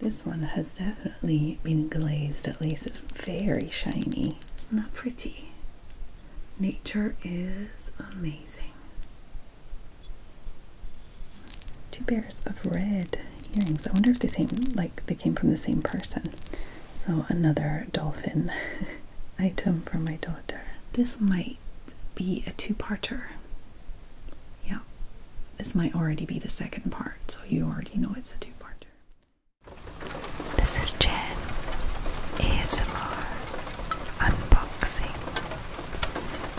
This one has definitely been glazed, at least it's very shiny. It's not pretty? Nature is amazing. Two pairs of red earrings. I wonder if they same like they came from the same person. So another dolphin item for my daughter. This might be a two-parter. Yeah, this might already be the second part, so you already know it's a two-parter. This is Jen ASMR Unboxing.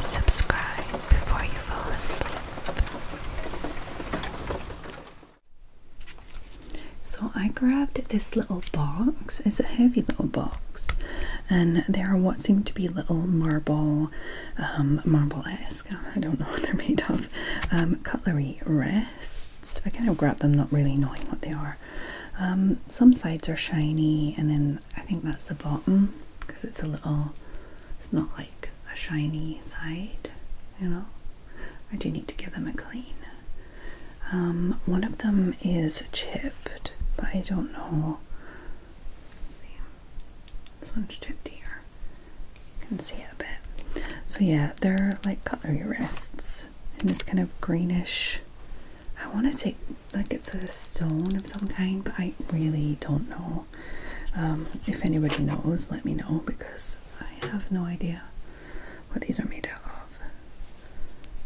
Subscribe before you fall asleep. So I grabbed this little box. It's a heavy little box. And there are what seem to be little marble, um, marble I don't know what they're made of. Um, cutlery rests. I kind of grab them, not really knowing what they are. Um, some sides are shiny, and then I think that's the bottom because it's a little. It's not like a shiny side, you know. I do need to give them a clean. Um, one of them is chipped, but I don't know see. This one's tipped here. You can see it a bit. So yeah, they're like cutlery wrists and it's kind of greenish. I want to say like it's a stone of some kind, but I really don't know. Um, if anybody knows, let me know because I have no idea what these are made out of.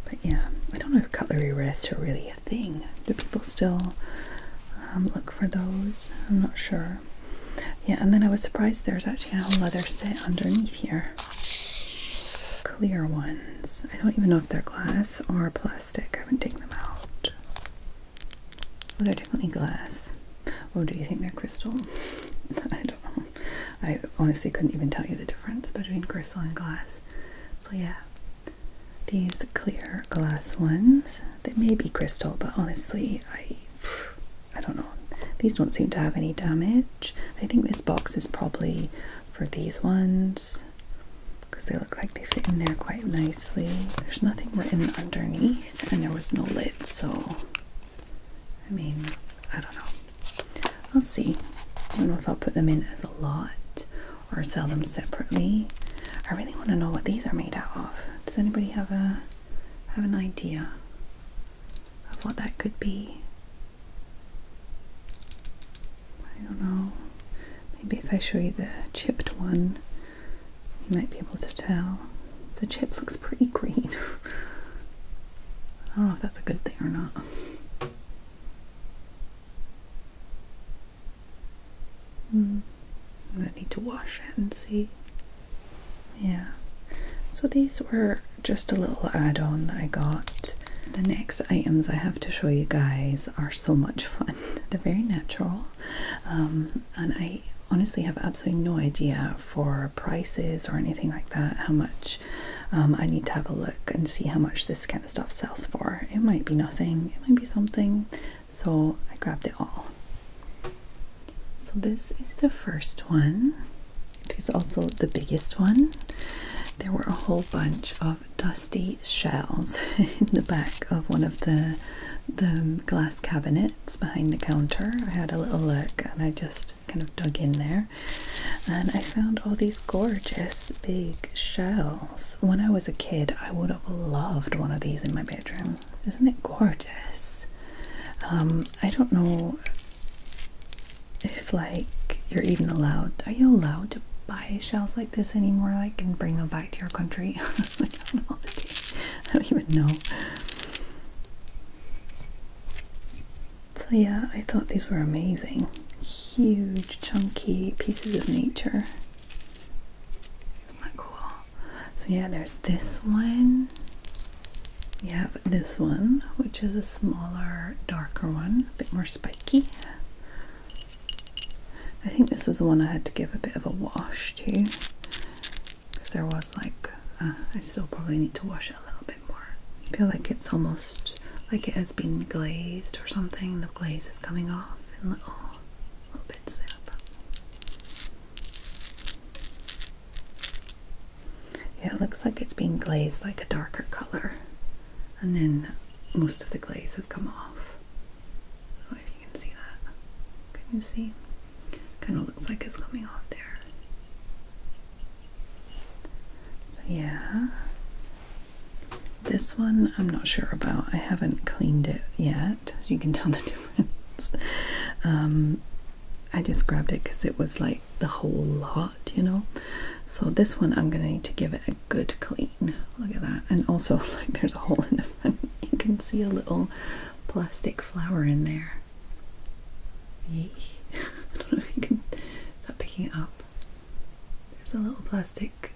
But yeah, I don't know if cutlery wrists are really a thing. Do people still um, look for those. I'm not sure. Yeah, and then I was surprised there's actually a leather set underneath here. Clear ones. I don't even know if they're glass or plastic. I haven't taken them out. Well, they're definitely glass. Oh, do you think they're crystal? I don't know. I honestly couldn't even tell you the difference between crystal and glass. So, yeah, these clear glass ones they may be crystal, but honestly, I I don't know. These don't seem to have any damage. I think this box is probably for these ones because they look like they fit in there quite nicely. There's nothing written underneath and there was no lid, so I mean, I don't know. I'll see. I don't know if I'll put them in as a lot or sell them separately. I really want to know what these are made out of. Does anybody have a have an idea of what that could be? I don't know. Maybe if I show you the chipped one, you might be able to tell. The chip looks pretty green. I don't know if that's a good thing or not. Hmm. I need to wash it and see. Yeah. So these were just a little add-on that I got. The next items I have to show you guys are so much fun. They're very natural. Um, and I honestly have absolutely no idea for prices or anything like that how much um, I need to have a look and see how much this kind of stuff sells for. It might be nothing, it might be something so I grabbed it all. So this is the first one. It is also the biggest one. There were a whole bunch of dusty shells in the back of one of the the glass cabinets behind the counter. I had a little look and I just kind of dug in there and I found all these gorgeous big shells. When I was a kid, I would have loved one of these in my bedroom. Isn't it gorgeous? Um, I don't know if like you're even allowed. Are you allowed to buy shells like this anymore? Like and bring them back to your country? I don't even know. So yeah, I thought these were amazing. Huge, chunky pieces of nature. Isn't that cool? So yeah, there's this one. We have this one, which is a smaller, darker one, a bit more spiky. I think this was the one I had to give a bit of a wash to. Because there was like, uh, I still probably need to wash it a little bit more. I feel like it's almost like it has been glazed or something. The glaze is coming off in little oh, yeah, it looks like it's being glazed like a darker color, and then most of the glaze has come off. if you can see that. Can you see? Kind of looks like it's coming off there. So, yeah. This one I'm not sure about. I haven't cleaned it yet. As You can tell the difference. Um, I just grabbed it because it was like the whole lot, you know. So this one I'm gonna need to give it a good clean. Look at that. And also, like, there's a hole in the front. You can see a little plastic flower in there. I don't know if you can. Is picking it up? There's a little plastic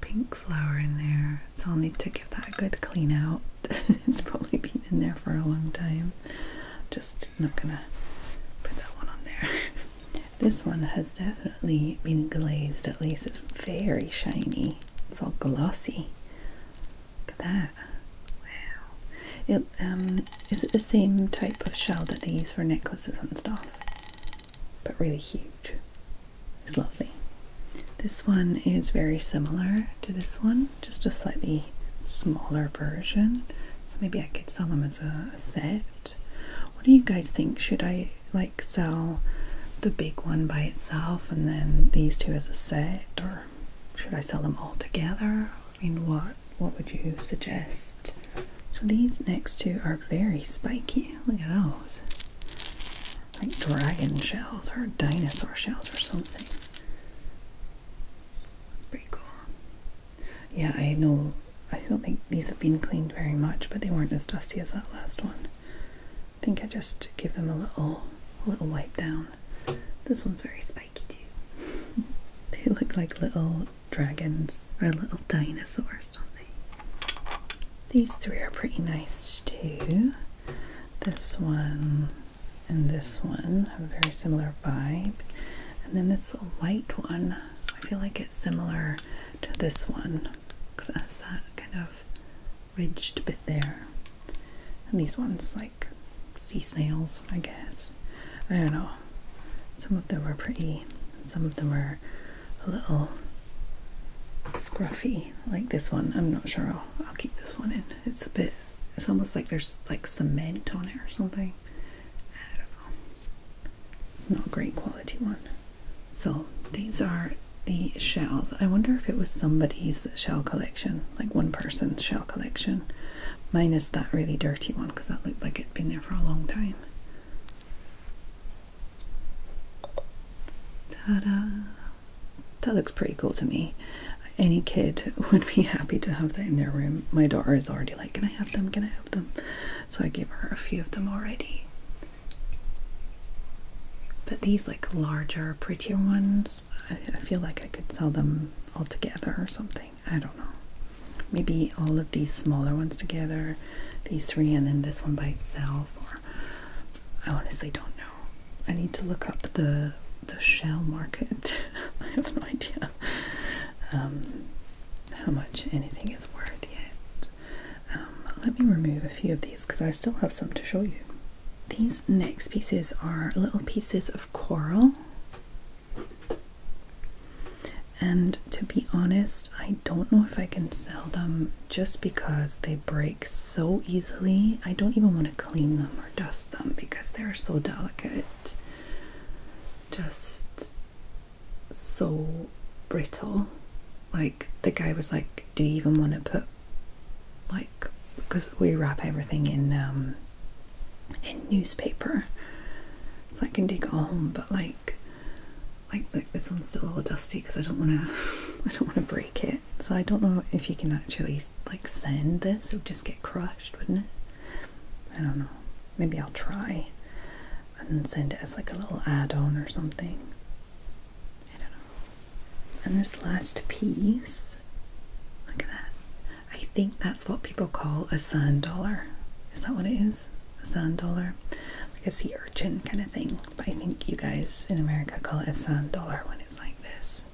pink flower in there, so I'll need to give that a good clean out. it's probably been in there for a long time. Just not gonna put that one on there. this one has definitely been glazed, at least it's very shiny. It's all glossy. Look at that. Wow. It um is it the same type of shell that they use for necklaces and stuff? but really huge. It's lovely. This one is very similar to this one, just a slightly smaller version. So maybe I could sell them as a, set. What do you guys think? Should I like sell the big one by itself and then these two as a set, or should I sell them all together? I mean, what what would you suggest? So these next two are very spiky. Look at those like dragon shells or dinosaur shells or something. That's pretty cool. Yeah, I know. I don't think these have been cleaned very much, but they weren't as dusty as that last one. I think I just give them a little, little wipe down. This one's very spiky too. they look like little dragons or little dinosaurs, don't these three are pretty nice too. This one and this one have a very similar vibe. And then this light one, I feel like it's similar to this one because it has that kind of ridged bit there. And these ones, like sea snails, I guess. I don't know. Some of them are pretty, some of them are a little scruffy like this one. I'm not sure I'll, keep this one in. It's a bit, it's almost like there's like some cement on it or something. I don't know. It's not a great quality one. So these are the shells. I wonder if it was somebody's shell collection, like one person's shell collection. Minus that really dirty one because that looked like it'd been there for a long time. Ta-da! That looks pretty cool to me. Any kid would be happy to have that in their room. My daughter is already like, can I have them? Can I have them? So I gave her a few of them already. But these like larger, prettier ones, I, feel like I could sell them all together or something. I don't know. Maybe all of these smaller ones together, these three, and then this one by itself, I honestly don't know. I need to look up the the shell market. I have no idea um, how much anything is worth yet. Um, let me remove a few of these because I still have some to show you. These next pieces are little pieces of coral. And to be honest, I don't know if I can sell them just because they break so easily. I don't even want to clean them or dust them because they're so delicate. Just so brittle. Like the guy was like, Do you even want to put like because we wrap everything in um, in newspaper so I can take it home but like like this one's still all dusty because I don't want to I don't want to break it so I don't know if you can actually like send this it would just get crushed wouldn't it I don't know maybe I'll try and send it as like a little add-on or something I don't know and this last piece look at that I think that's what people call a sand dollar is that what it is a sand dollar like a sea urchin kind of thing but I think you guys in America call it a sand dollar when it's like this.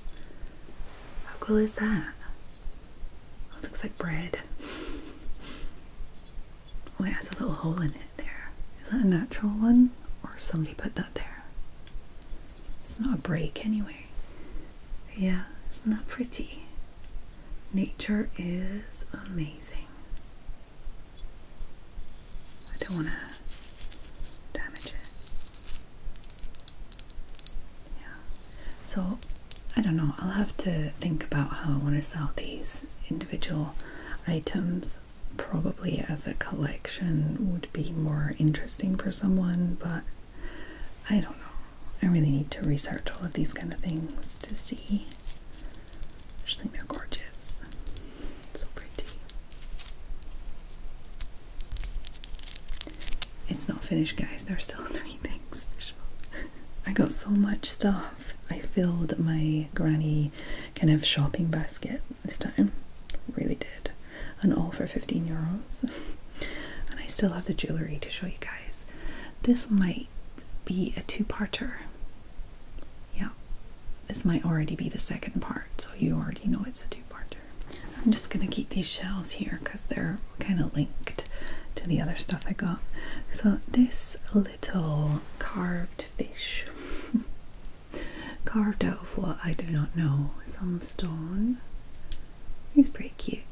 How cool is that? it looks like bread. Oh, it has a little hole in it there. Is that a natural one? Or somebody put that there? It's not a break anyway. Yeah, isn't that pretty? Nature is amazing. I don't want to damage it. Yeah. So I don't know. I'll have to think about how I want to sell these individual items. Probably as a collection would be more interesting for someone, but I don't know. I really need to research all of these kind of things to see I just think they're gorgeous. So pretty. It's not finished, guys. There's still three things. I got so much stuff. I filled my granny kind of shopping basket this time. Really did. And all for 15 euros. and I still have the jewellery to show you guys. This might be a two parter. Yeah, this might already be the second part, so you already know it's a two-parter. I'm just gonna keep these shells here because they're kind of linked to the other stuff I got. So this little carved fish, carved out of what I do not know, some stone. He's pretty cute.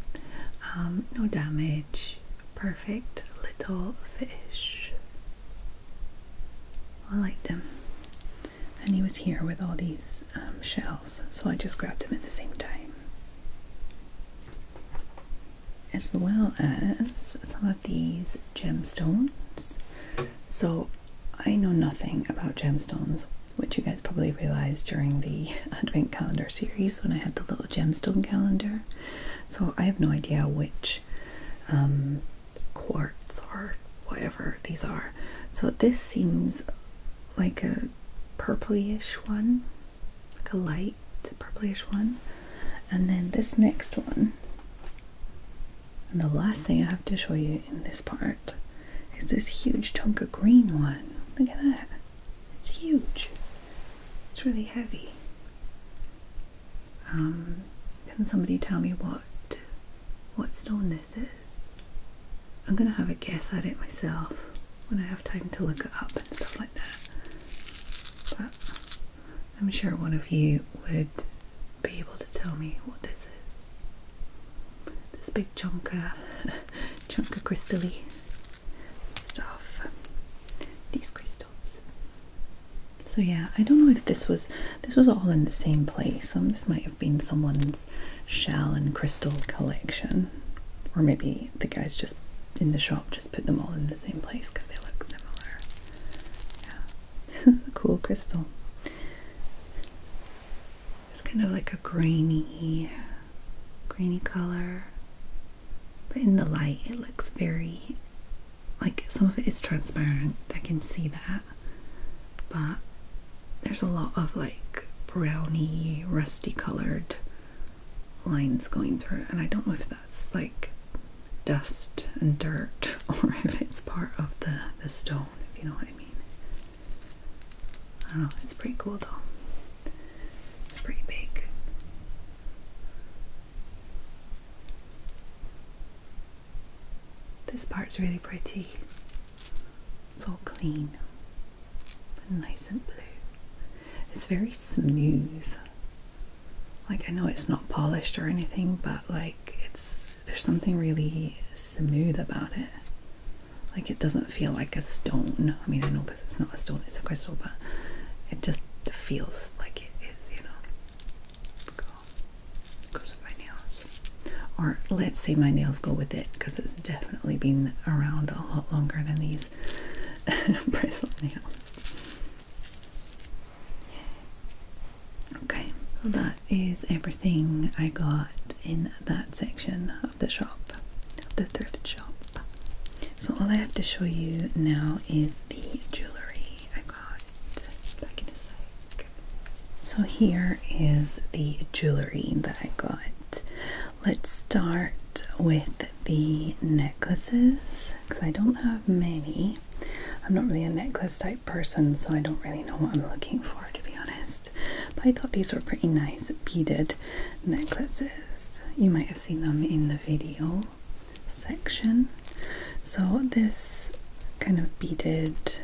Um, no damage. Perfect little fish. I liked him. And he was here with all these um, shells, so I just grabbed him at the same time. As well as some of these gemstones. So I know nothing about gemstones, which you guys probably realized during the Advent calendar series when I had the little gemstone calendar. So I have no idea which um, quartz or whatever these are. So this seems like a purplish one, like a light purplish one. And then this next one, and the last thing I have to show you in this part is this huge chunk green one. Look at that. It's huge. It's really heavy. Um, can somebody tell me what what stone this is? I'm gonna have a guess at it myself when I have time to look it up and stuff like that. But I'm sure one of you would be able to tell me what this is. This big chunka, of crystally stuff. These crystals. So yeah, I don't know if this was this was all in the same place. Um, this might have been someone's shell and crystal collection, or maybe the guys just in the shop just put them all in the same place because they look similar. Yeah, cool crystal. It's kind of like a grainy, grainy color, but in the light, it looks very like some of it is transparent, I can see that, but there's a lot of like browny, rusty colored lines going through, and I don't know if that's like dust and dirt or if it's part of the, the stone, if you know what I mean. I don't know, it's pretty cool though. It's pretty big. This part's really pretty. It's all clean nice and blue. It's very smooth. Like I know it's not polished or anything, but like it's there's something really smooth about it. Like it doesn't feel like a stone. I mean, I know because it's not a stone, it's a crystal, but it just feels like it is, you know go with my nails. Or let's say my nails go with it because it's definitely been around a lot longer than these bracelet nails. Okay, so that is everything I got in that section of the shop, of the thrift shop. So all I have to show you now is the jewellery. So here is the jewelry that I got. Let's start with the necklaces because I don't have many. I'm not really a necklace type person, so I don't really know what I'm looking for to be honest. But I thought these were pretty nice beaded necklaces. You might have seen them in the video section. So, this kind of beaded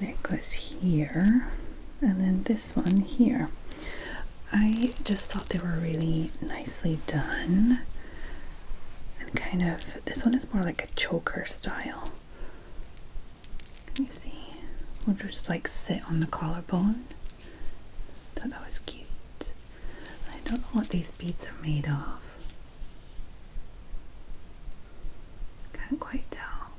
necklace here, and then this one here. I just thought they were really nicely done and kind of this one is more like a choker style. Can you see? Would just like sit on the collarbone. Thought that was cute. I don't know what these beads are made of. Can't quite tell.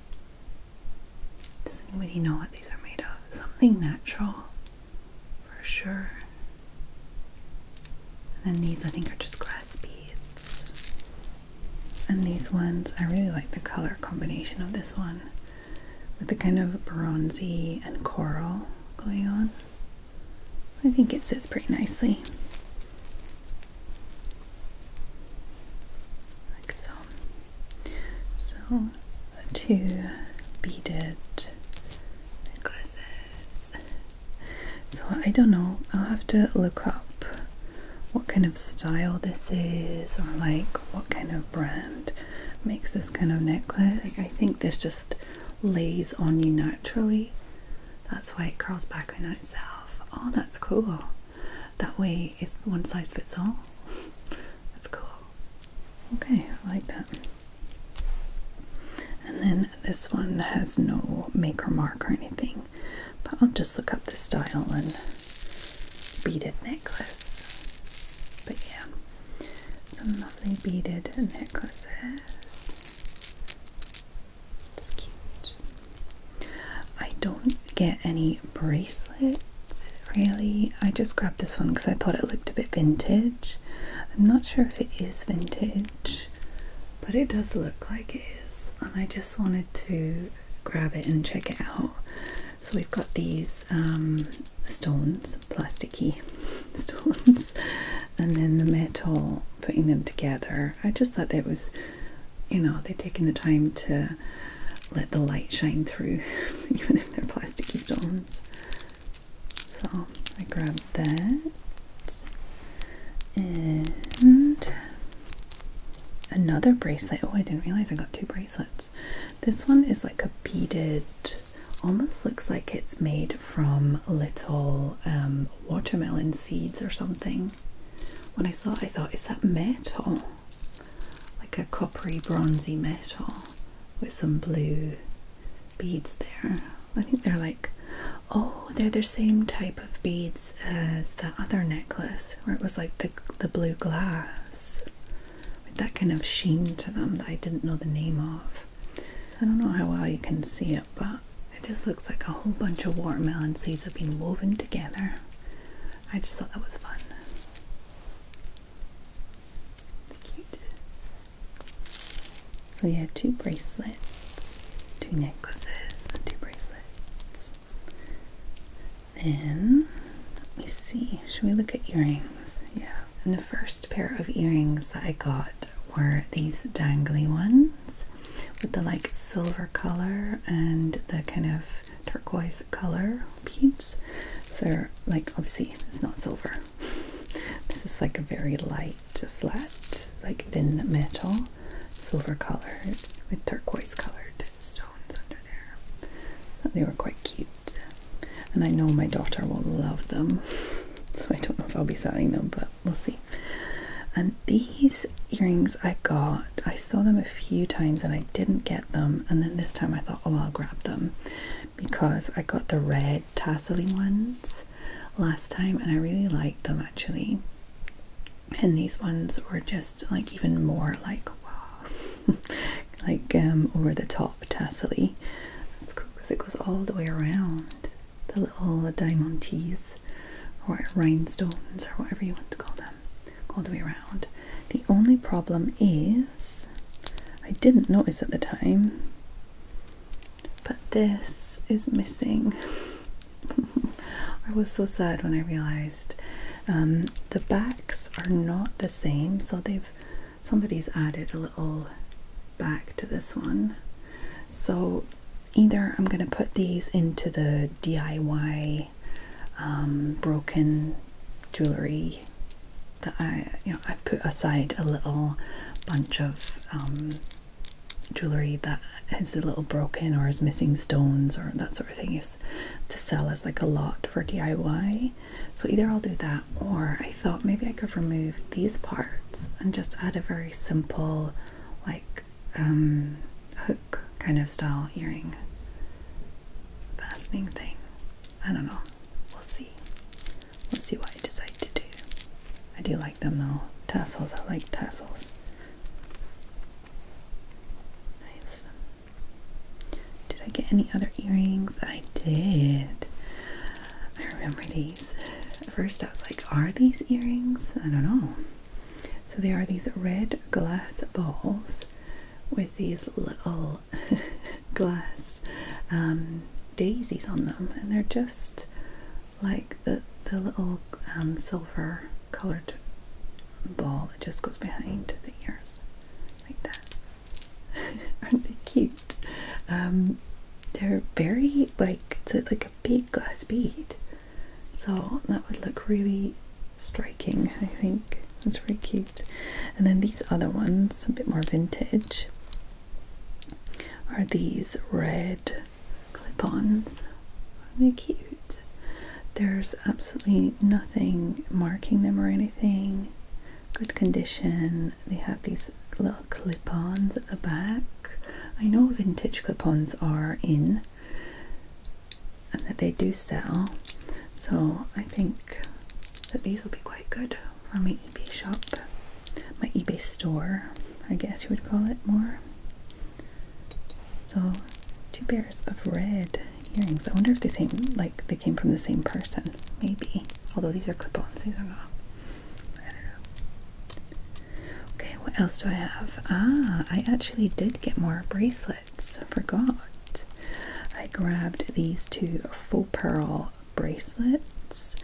Does anybody know what these are made of? Something natural, for sure. And then these, I think, are just glass beads. And these ones, I really like the color combination of this one with the kind of bronzy and coral going on. I think it sits pretty nicely. Like so. So, two beaded necklaces. So, I don't know, I'll have to look up what kind of style this is or like what kind of brand makes this kind of necklace. I think this just lays on you naturally. That's why it curls back on itself. Oh, that's cool. That way it's one size fits all. That's cool. Okay, I like that. And then this one has no maker mark or anything, but I'll just look up the style and beaded necklace. But yeah, some lovely beaded necklaces. It's cute. I don't get any bracelets really. I just grabbed this one because I thought it looked a bit vintage. I'm not sure if it is vintage, but it does look like it is, and I just wanted to grab it and check it out. So we've got these um, stones, plasticky stones, and then the metal, putting them together. I just thought that was, you know, they've taken the time to let the light shine through, even if they're plasticky stones. So I grabbed that and another bracelet. Oh, I didn't realize I got two bracelets. This one is like a beaded almost looks like it's made from little um, watermelon seeds or something. When I saw it, I thought, is that metal? Like a coppery, bronzy metal with some blue beads there. I think they're like, oh, they're the same type of beads as the other necklace where it was like the, the blue glass with that kind of sheen to them that I didn't know the name of. I don't know how well you can see it, but it just looks like a whole bunch of watermelon seeds have been woven together. I just thought that was fun. It's cute. So yeah, two bracelets, two necklaces, and two bracelets. Then let me see. Should we look at earrings? Yeah. And the first pair of earrings that I got were these dangly ones with the like silver color and the kind of turquoise color beads. So they're like obviously it's not silver. This is like a very light, flat, like thin metal, silver color with turquoise colored stones under there. they were quite cute. And I know my daughter will love them. So I don't know if I'll be selling them, but we'll see. And these earrings I got, I saw them a few times and I didn't get them. And then this time I thought, oh, I'll grab them because I got the red tasseling ones last time and I really liked them actually. And these ones were just like even more like wow, like um, over the top top tassel. cool because it goes all the way around the little diamond tees or rhinestones or whatever you want to call them all the way around. The only problem is I didn't notice at the time but this is missing. I was so sad when I realized um, the backs are not the same so they've somebody's added a little back to this one. So either I'm going to put these into the DIY um, broken jewelry that I, you know, i put aside a little bunch of um, jewelry that is a little broken or is missing stones or that sort of thing to sell as like a lot for DIY so either I'll do that or I thought maybe I could remove these parts and just add a very simple like um, hook kind of style earring fastening thing. I don't know. We'll see. We'll see what I decide to do. I do like them though. Tassels. I like tassels. Nice. Did I get any other earrings? I did. I remember these. first, I was like, are these earrings? I don't know. So, they are these red glass balls with these little glass um, daisies on them, and they're just like the, the little um, silver colored ball that just goes behind the ears, like that. Aren't they cute? Um, they're very like it's like a big glass bead, so that would look really striking. I think that's really cute. And then these other ones, a bit more vintage, are these red clip-ons. Aren't they cute? There's absolutely nothing marking them or anything good condition. They have these little clip-ons at the back. I know vintage clip-ons are in and that they do sell, so I think that these will be quite good for my eBay shop, my eBay store, I guess you would call it more. So two pairs of red earrings. I wonder if they same like they came from the same person. Maybe. Although these are clip-ons, these are not. I don't know. Okay, what else do I have? Ah, I actually did get more bracelets. I forgot. I grabbed these two faux pearl bracelets.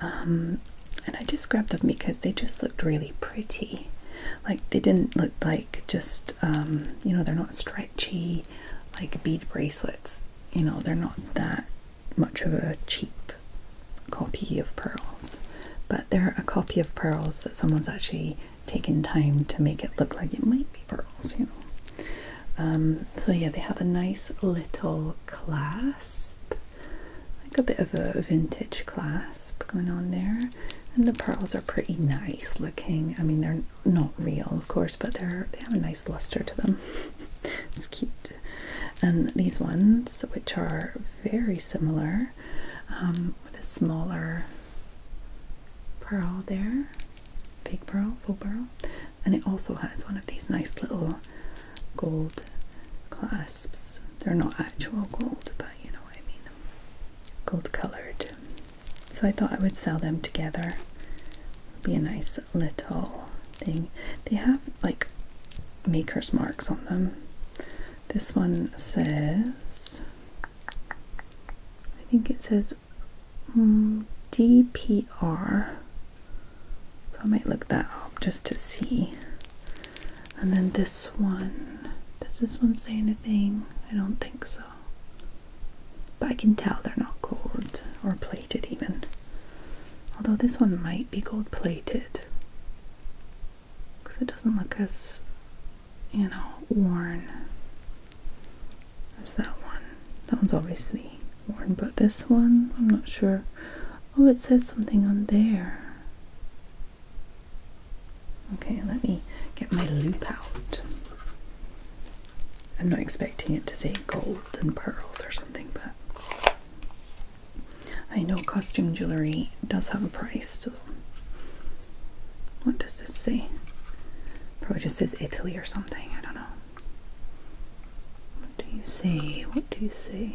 Um, and I just grabbed them because they just looked really pretty. Like they didn't look like just, um, you know, they're not stretchy like bead bracelets. You know, they're not that much of a cheap copy of pearls, but they're a copy of pearls that someone's actually taken time to make it look like it might be pearls, you know. Um, so yeah, they have a nice little clasp, like a bit of a vintage clasp going on there. And the pearls are pretty nice looking. I mean, they're not real, of course, but they're they have a nice luster to them it's cute. And these ones, which are very similar, um, with a smaller pearl there, fake pearl, full pearl, and it also has one of these nice little gold clasps. They're not actual gold, but you know what I mean. Gold colored. So I thought I would sell them together. be a nice little thing. They have like maker's marks on them. This one says, I think it says mm, DPR. So I might look that up just to see. And then this one, does this one say anything? I don't think so. But I can tell they're not gold or plated even. Although this one might be gold plated. Because it doesn't look as, you know, worn as that one. That one's obviously worn, but this one, I'm not sure. Oh, it says something on there. Okay, let me get my loop out. I'm not expecting it to say gold and pearls or something, but I know costume jewellery does have a price, so what does this say? Probably just says Italy or something, I don't know. What do you say? What do you say?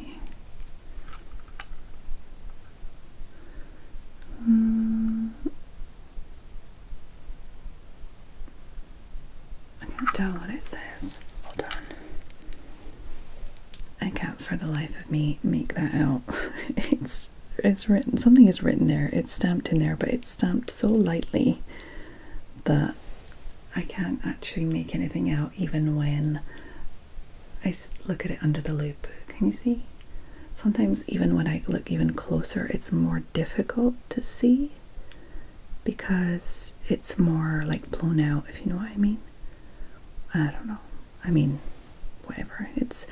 Um, I can't tell what it says. Hold on. I can't for the life of me make that out. it's it's written something is written there. It's stamped in there, but it's stamped so lightly that I can't actually make anything out even when I look at it under the loop. Can you see? Sometimes even when I look even closer, it's more difficult to see because it's more like blown out, if you know what I mean. I don't know. I mean, whatever. It's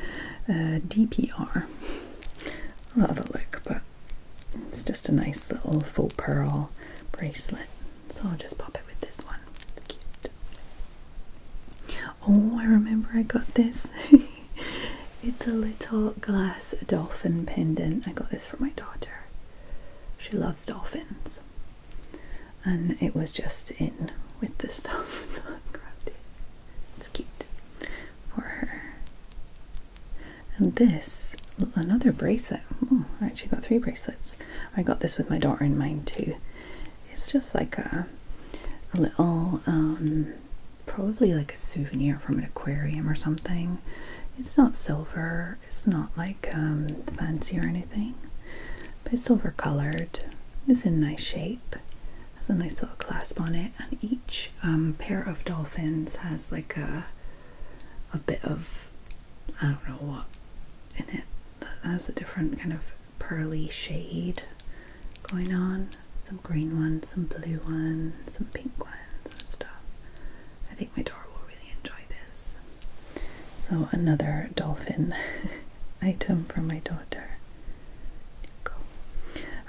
DPR. I'll have look, but it's just a nice little faux pearl bracelet. So I'll just pop it with this one. Oh, I remember I got this. it's a little glass dolphin pendant. I got this for my daughter. She loves dolphins. And it was just in with this stuff, It's cute for her. And this, another bracelet. I actually got three bracelets. I got this with my daughter in mind too. It's just like a, little, um, probably like a souvenir from an aquarium or something. It's not silver, it's not like um, fancy or anything, but silver colored. It's in nice shape, has a nice little clasp on it, and each um, pair of dolphins has like a a bit of I don't know what in it that has a different kind of pearly shade going on. Some green ones, some blue ones, some pink ones and stuff. I think my daughter will really enjoy this. So, another dolphin item for my daughter.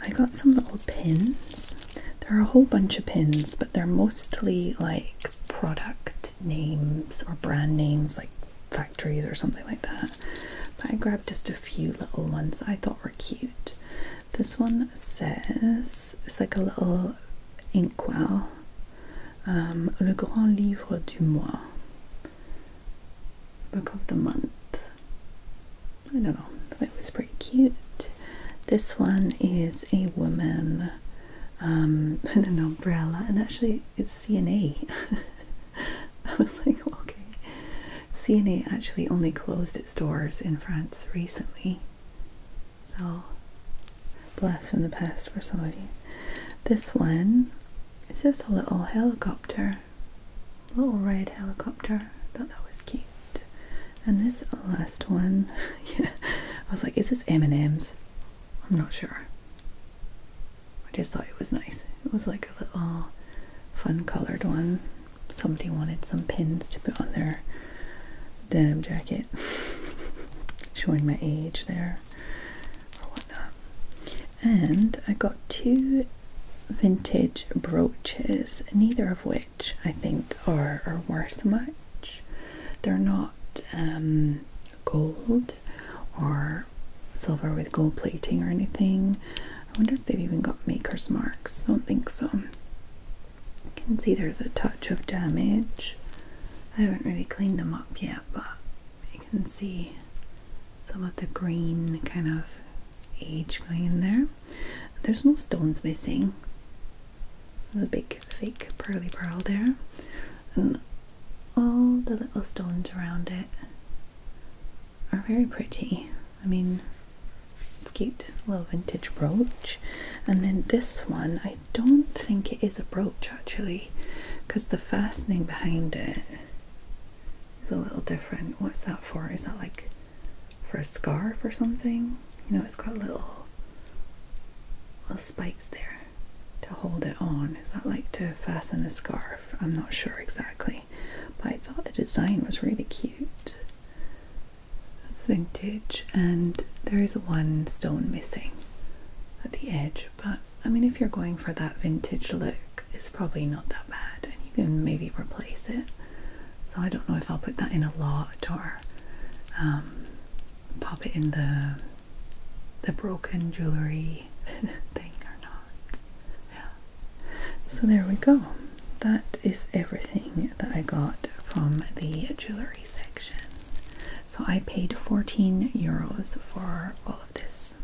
I got some little pins. There are a whole bunch of pins, but they're mostly like product names or brand names, like factories or something like that. But I grabbed just a few little ones I thought were cute. This one says it's like a little inkwell. Um, Le Grand Livre du Mois, Book of the Month. I don't know, That was pretty cute. This one is a woman um, with an umbrella, and actually, it's CNA. I was like, okay. CNA actually only closed its doors in France recently. Oh, blast from the past for somebody. This one is just a little helicopter, little red helicopter. I thought that was cute. And this last one, I was like, is this M&M's? I'm not sure. I just thought it was nice. It was like a little fun colored one somebody wanted some pins to put on their denim jacket, showing my age there whatnot. And I got two vintage brooches, neither of which I think are, worth much. They're not um, gold or silver with gold plating or anything. I wonder if they've even got maker's marks. I don't think so. You can see there's a touch of damage. I haven't really cleaned them up yet, but you can see some of the green kind of age going in there. There's no stones missing. The big fake pearly pearl there. And all the little stones around it are very pretty. I mean, it's cute. little vintage brooch. And then this one, I don't think it is a brooch actually, because the fastening behind it is a little different. What's that for? Is that like for a scarf or something? You know, it's got little little spikes there to hold it on. Is that like to fasten a scarf? I'm not sure exactly. But I thought the design was really cute vintage and there is one stone missing at the edge but I mean if you're going for that vintage look it's probably not that bad and you can maybe replace it so I don't know if I'll put that in a lot or um, pop it in the the broken jewelry thing or not yeah so there we go that is everything that I got from the jewelry section. So I paid 14 euros for all of this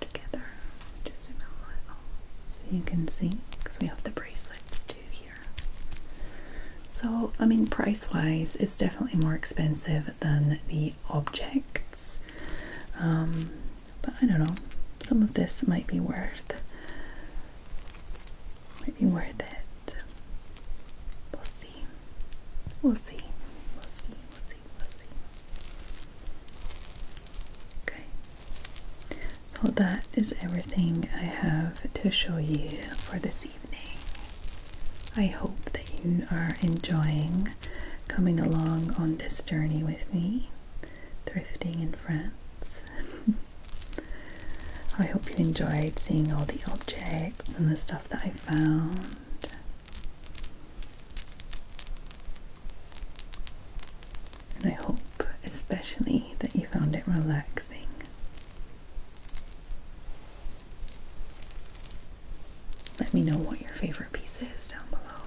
together. Just zoom out a little so you can see because we have the bracelets too here. So, I mean, price wise, it's definitely more expensive than the objects. Um, but I don't know, some of this might be worth might be worth it. We'll see. We'll see. We'll see. We'll see. We'll see. Okay. So that is everything I have to show you for this evening. I hope that you are enjoying coming along on this journey with me, thrifting in France. I hope you enjoyed seeing all the objects and the stuff that I found. And I hope especially that you found it relaxing. Let me know what your favorite piece is down below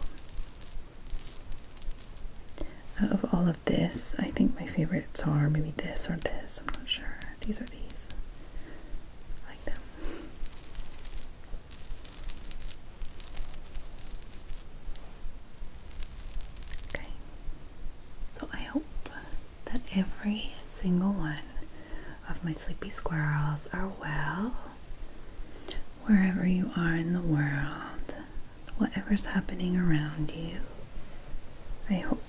of all of this, I think my favorites are maybe this or this. I'm not sure. These are these. like them. Okay. So I hope that every single one of my sleepy squirrels are well wherever you are in the world whatever's happening around you. I hope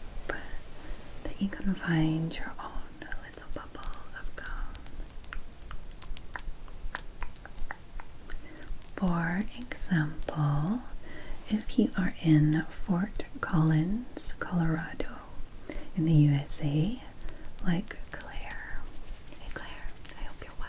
that you can find your own little bubble of calm. For example, if you are in Fort Collins, Colorado, in the USA, like Claire. Hey Claire, I hope you're well